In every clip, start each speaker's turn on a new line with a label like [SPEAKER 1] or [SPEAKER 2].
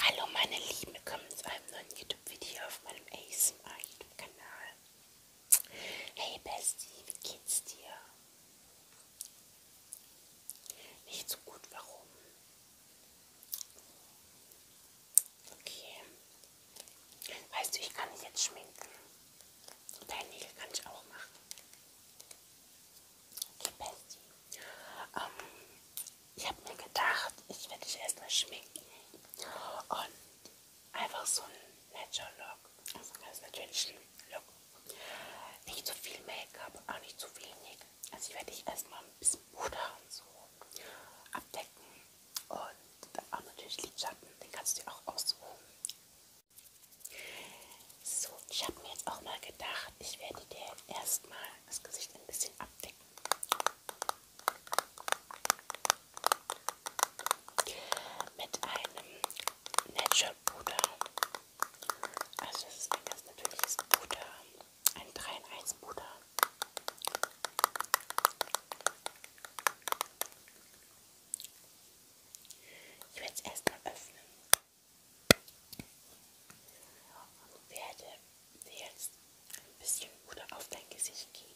[SPEAKER 1] Hallo meine Lieben, willkommen zu einem neuen YouTube-Video auf meinem ASMR-YouTube-Kanal. Hey Bestie, wie geht's dir? Nicht so gut, warum? Okay. Weißt du, ich kann mich jetzt schminken. Deine Nägel kann ich auch machen die Bestie. Ähm, ich habe mir gedacht, ich werde dich erstmal schminken und einfach so ein Natural Look, also ganz natürlichen Look. Nicht zu so viel Make-up, auch nicht zu so wenig. Also ich werde dich erstmal ein bisschen Puder und so abdecken und auch natürlich Lidschatten, den kannst du dir auch aussuchen. So, ich habe mir jetzt auch mal gedacht, ich werde dir erstmal das Gesicht ein bisschen abdecken. Mit einem Natural Puder. Also das ist ein ganz natürliches Puder. Ein 3 in 1 Puder. Ich werde es erstmal öffnen. Und werde dir jetzt ein bisschen Puder auf dein Gesicht geben.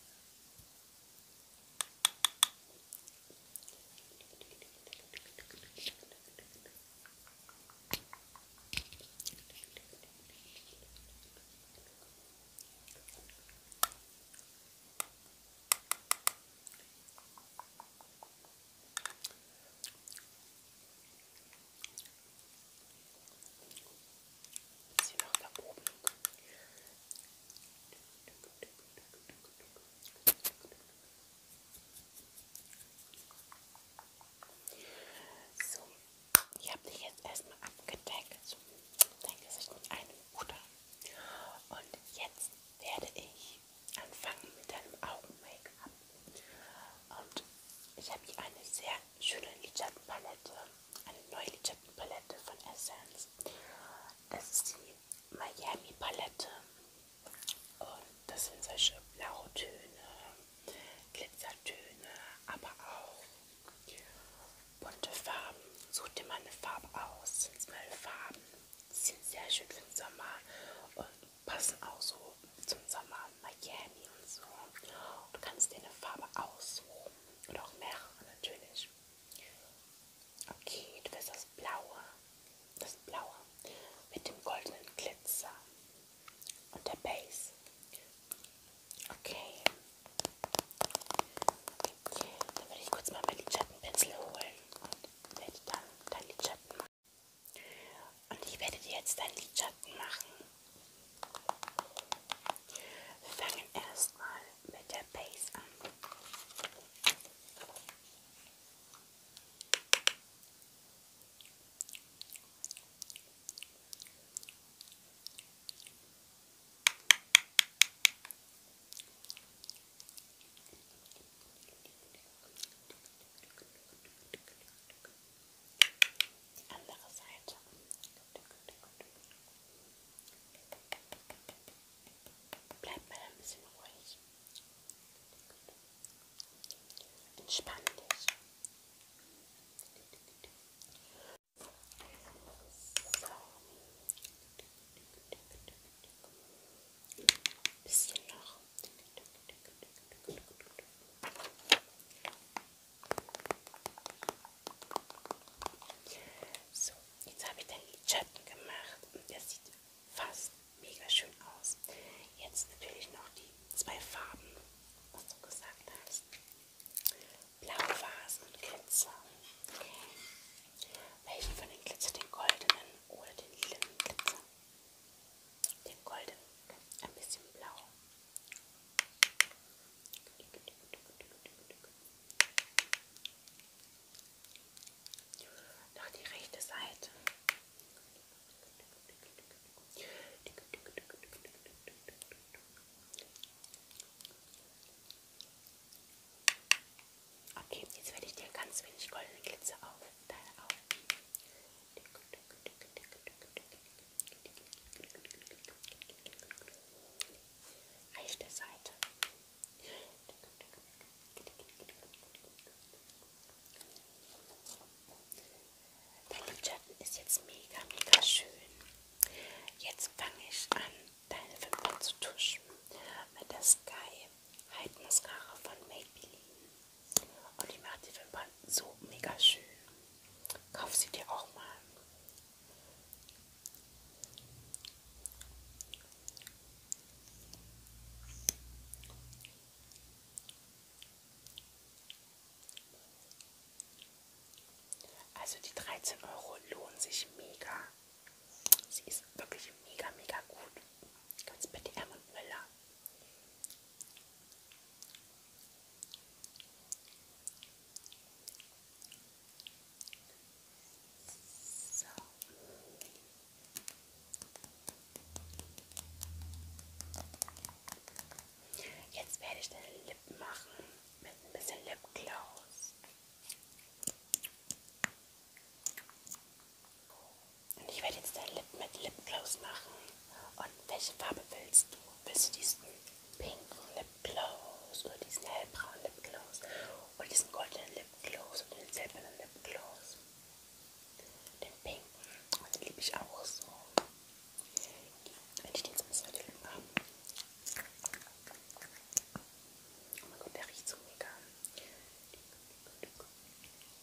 [SPEAKER 1] Bisschen nach da oben. So, ich habe dich jetzt erstmal abgedeckt. Dein Gesicht mit einem Puder. Und jetzt werde ich anfangen mit einem Augen-Make-up. Und ich habe hier eine sehr schöne Lidschattenpalette, eine neue Lidschattenpalette von Essence. Das ist die Miami Palette. Und das sind solche blaue Töne, Glitzertöne, aber auch bunte Farben. Such dir mal eine Farbe aus, sind es mal Farben. Die sind sehr schön für den Sommer und passen auch so zum Sommer Miami und so. Du kannst dir eine Farbe aussuchen oder auch mehrere natürlich. Okay, du willst das Blaue, das Blaue mit dem goldenen Glitzer und der Base. Okay. Dann werde ich kurz mal meinen Lidschattenpinsel holen und werde dann deinen Lidschatten mal und ich werde dir jetzt einen Lidschatten machen. Wir fangen erstmal mit der Base an. Die andere Seite. Bleib mal ein bisschen ruhig. Entspann dich. So. Ein bisschen noch. So, jetzt habe ich den Lidschatten gemacht und der sieht fast mega schön aus. Jetzt natürlich noch die zwei Farben, was du gesagt hast. Blaue Vasen und Glitzer. Okay. Welchen von den Glitzer, den goldenen oder den lilanen Glitzer? den golden, ein bisschen blau. Noch die rechte Seite. Okay, jetzt werde ich dir ganz wenig goldene Glitzer auf ersten Teil auf. Rechte Seite. Dein Lidschatten ist jetzt mega, mega schön. Jetzt fange ich an, deine Wimpern zu tuschen mit der Sky Hide Mascara von Maybelline. Und die macht die Wimpern so mega schön. Kauf sie dir auch mal. Also die 13 Euro lohnen sich mega. Sie ist wirklich mega, mega gut. Ganz bitte M und Müller. So. Jetzt werde ich deine Lippen machen mit ein bisschen Lipgloss. Und ich werde jetzt deine Lippen mit Lipgloss machen. Und welche Farbe willst du? Willst du diesen pinken Lipgloss oder diesen hellbraunen Lipgloss oder diesen goldenen Lipgloss oder den silbernen Lipgloss? Den pinken. Und den liebe ich auch so. Wenn ich den jetzt ein bisschen Lippen habe. Oh mein Gott, der riecht so mega.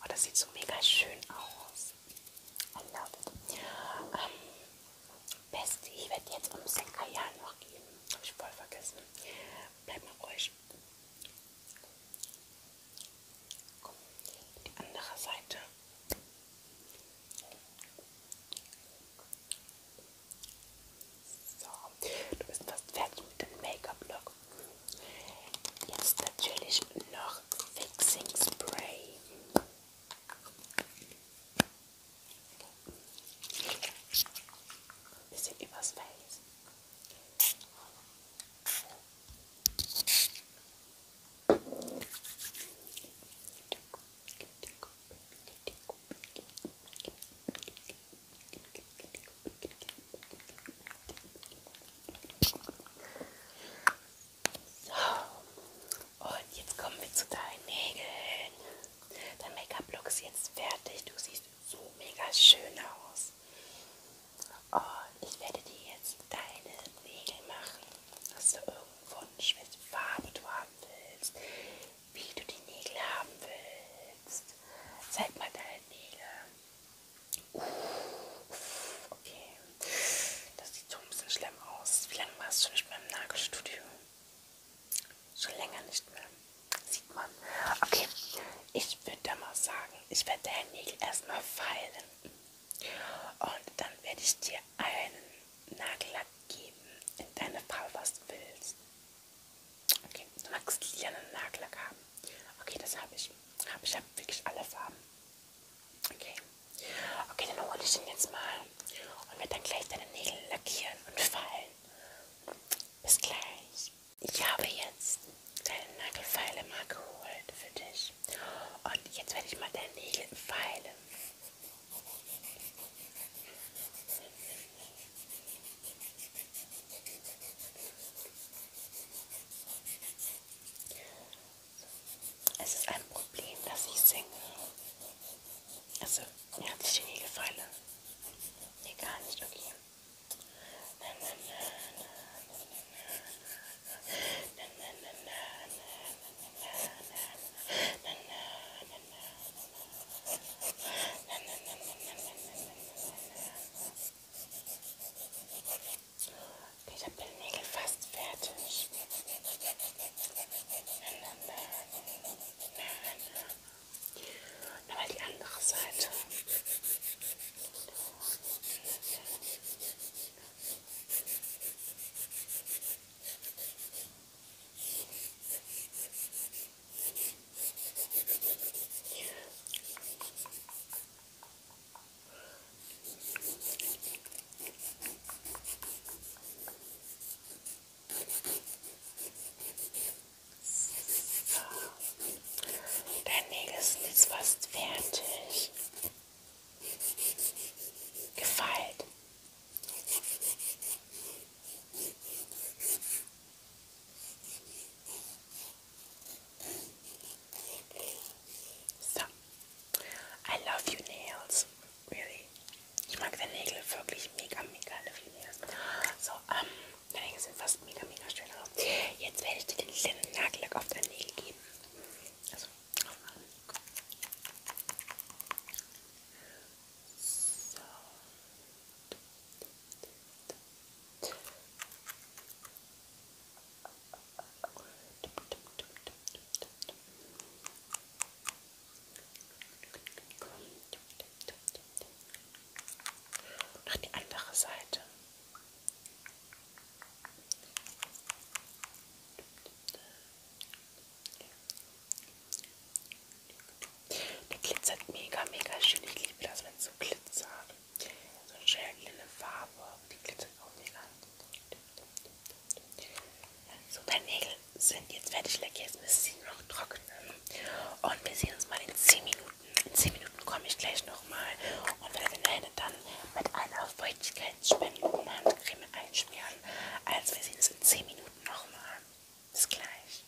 [SPEAKER 1] Oh, das sieht so mega schön aus. I love it. Ähm, Beste, ich werde jetzt um Senkajal noch geben. Habe ich voll vergessen. Bleib mal ruhig. Komm, die andere Seite. So, du bist fast fertig mit dem Make-up-Look. Jetzt natürlich noch Fixing Spray. Ein bisschen übers Face. So. Und jetzt kommen wir zu deinen Nägeln. Dein Make-up-Look ist jetzt fertig. Du siehst so mega schön aus. Und ich werde dir jetzt deine Nägel machen. Hast du irgendwo welche Farbe du haben willst? Wie du die Nägel haben willst? Zeig mal deine Nägel. Uh, okay. Das sieht so ein bisschen schlimm aus. Wie lange warst du nicht mehr im Nagelstudio? Schon länger nicht mehr. Sieht man. Okay, ich würde da mal sagen, ich werde deinen Nägel erstmal feilen. Und dann werde ich dir einen Nagellack geben in deine Farbe, was du willst. Okay, du magst lilanen Nagellack haben. Okay, das habe ich. Hab ich habe wirklich alle Farben. Okay. Okay, dann hole ich ihn jetzt mal und werde dann gleich deine Nägel lackieren und fallen. Bis gleich. Ich habe jetzt deine Nagelfeile mal geholt für dich. Und jetzt werde ich mal deine Nägel feilen. Es ist ein Problem, dass ich singe. Also, mir hat sich nie gefallen. Nee, gar nicht, okay. Okay, ich habe den Nägel fast fertig. Nochmal die andere Seite. So. Dein Nägel sind jetzt fast fertig. Gefeilt. So. I love you nails. Really. Ich mag deine Nägel wirklich mega, mega. I love you nails. So, ähm, deine Nägel sind fast mega, mega schön. Also, jetzt werde ich dir den kleinen Nagellack auf deine Nägel geben. Also, aufmachen. So. So. Noch die andere Seite. Der glitzert mega, mega schön. Ich liebe das, wenn es so glitzert so eine schön lille Farbe, die glitzert auch mega. So, meine Nägel sind jetzt fertig lecker, jetzt müssen sie noch trocknen. Und wir sehen uns mal in 10 Minuten. In 10 Minuten komme ich gleich nochmal und werde deine dann mit einer feuchtigkeitsspendenden Handcreme einschmieren. Also wir sehen uns in 10 Minuten nochmal. Bis gleich.